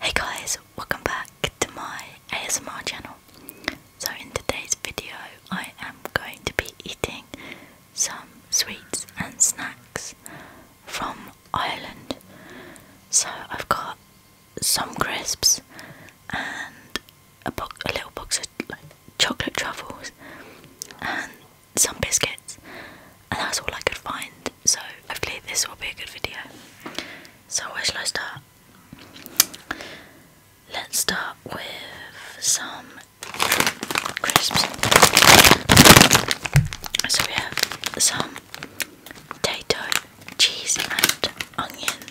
Hey guys, welcome back to my ASMR channel. So in today's video I am going to be eating some sweets and snacks from Ireland. So I've got some crisps and a, little box of chocolate truffles and some biscuits, and that's all I could find. So, hopefully, this will be a good video. So, where shall I start? Let's start with some crisps. So, we have some potato, cheese, and onion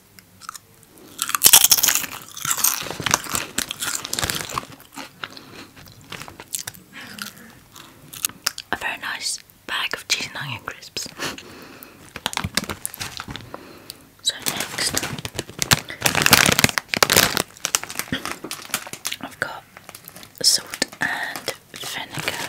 A very nice bag of cheese and onion crisps. so next, I've got salt and vinegar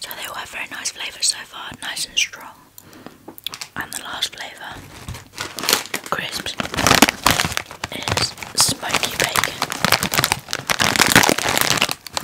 So they all very nice flavours so far, nice and strong. And the last flavour, crisps, is smoky bacon.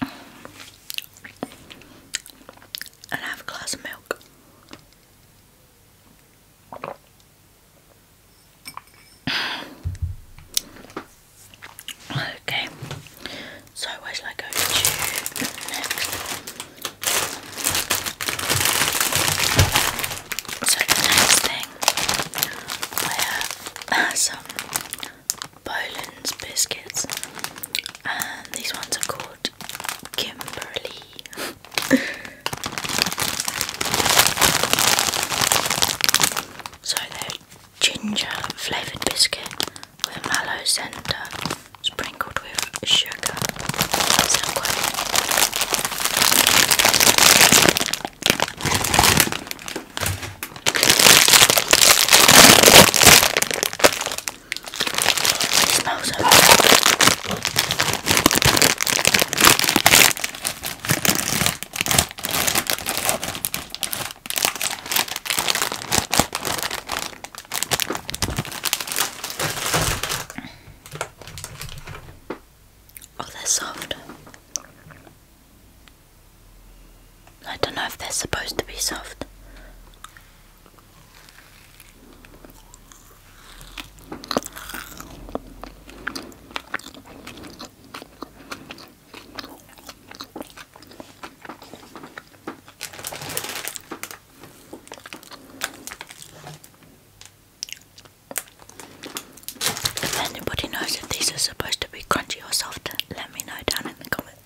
and have a glass of milk. Okay, so where shall I go next? So the next thing I have some Boland's biscuits, and these ones are called Kimberly. so they're ginger flavoured biscuit with mallow centre, sprinkled with sugar smells so Oh, they're soft. I don't know if they're supposed to be soft. If anybody knows if these are supposed to be crunchy or soft, let me know down in the comments.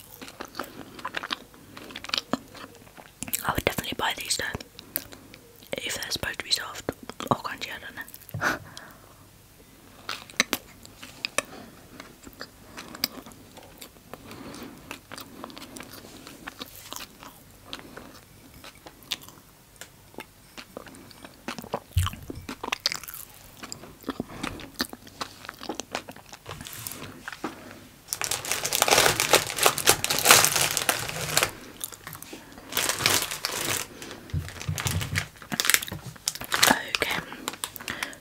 I would definitely buy these though. If they're supposed to be soft or oh, crunchy, I don't know. Okay,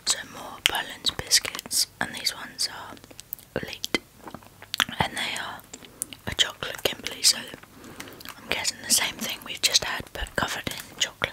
so more Berlin's biscuits, and these ones are elite, and they are a chocolate Kimberley. So I'm guessing the same thing we've just had, but covered in chocolate.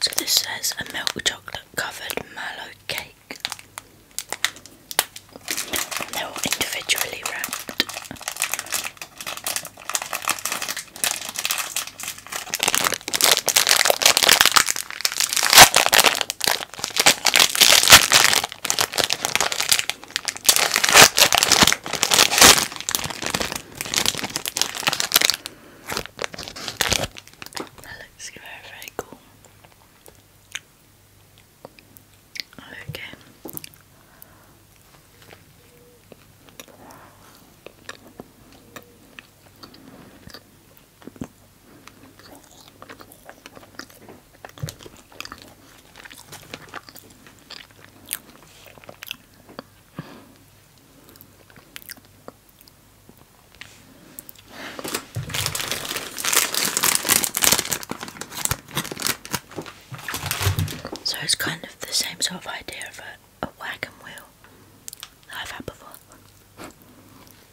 So this says a milk chocolate covered mallow cake. And they're all individually wrapped. That looks very, very cool. Okay. So it's kind of the same sort of idea of a, a wagon wheel that I've had before.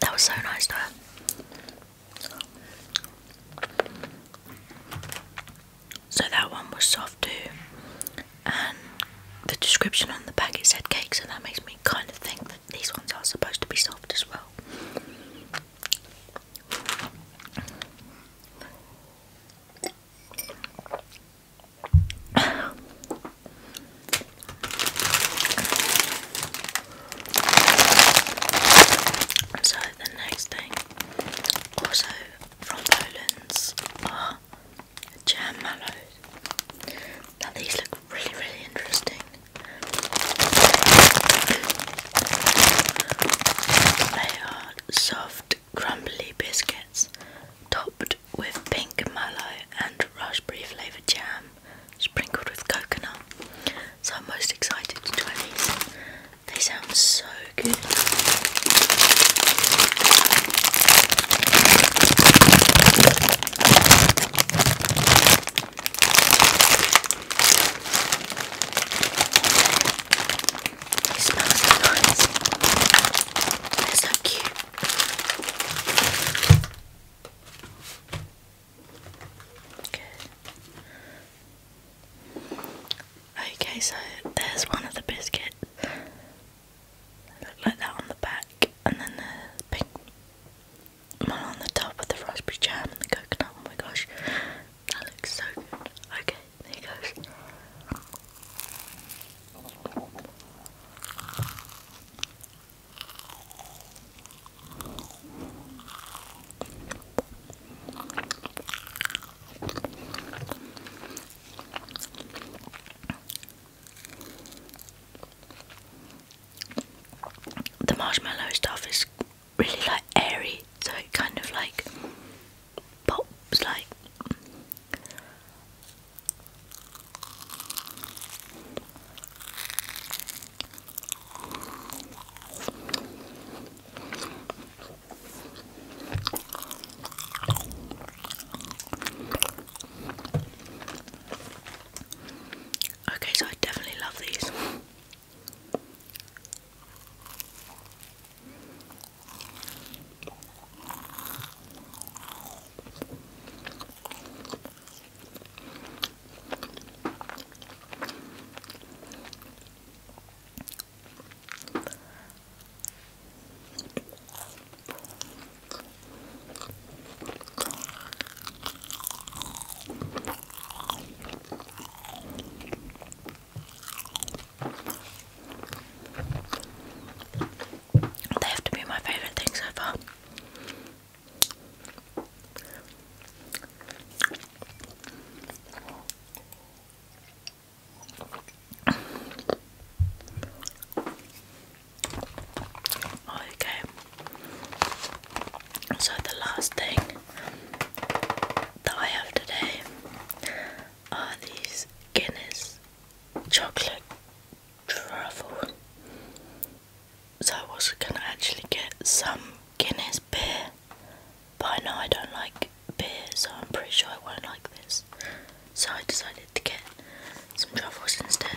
That was so nice though. So that one was soft too, the description on the bag packet said cakes, and that makes me kind of think that these ones are supposed to be soft as well. so the next thing, also from Poland's, are jam mallows. Now these look really, really interesting. They are soft, crumbly biscuits topped with pink mallow and raspberry flavoured jam sprinkled with coconut. So I'm most excited to try these. They sound so good. It smells so nice. They're so cute. Good. Okay, so there's one of the biscuits. Look like that on the back, and then the pink one on the top with the raspberry jam and the coconut. Oh my gosh, that looks so good. Okay, there you goes. The marshmallow stuff is really like airy, so it kind of like pops like. Okay, so I definitely love these. They have to be my favourite thing so far. Okay. So the last thing that I have today are these Guinness chocolate truffles. So I was gonna actually get some Guinness beer, but I know I don't like beer, so I'm pretty sure I won't like this. So I decided to get some truffles instead.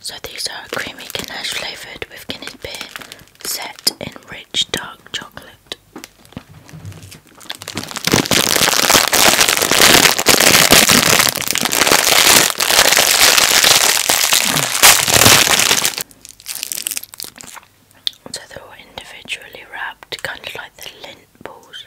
So these are creamy ganache flavoured with Guinness beer set in rich dark chocolate. So they're individually wrapped, kind of like the lint balls.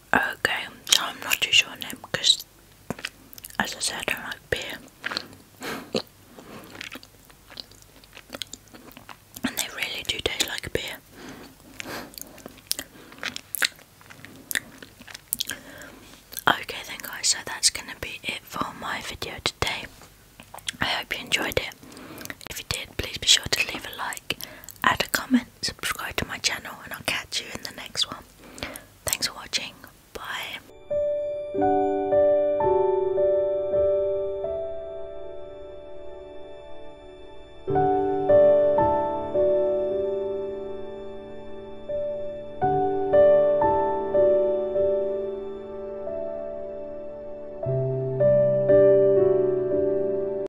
Okay, so I'm not too sure on them because, as I said, I like beer. and they really do taste like beer. Okay, then, guys, so that's gonna be it for my video today. I hope you enjoyed it. If you did, please be sure to leave a like, add a comment subscribe to my channel, and I'll catch you in the next one. Thanks for watching. Bye.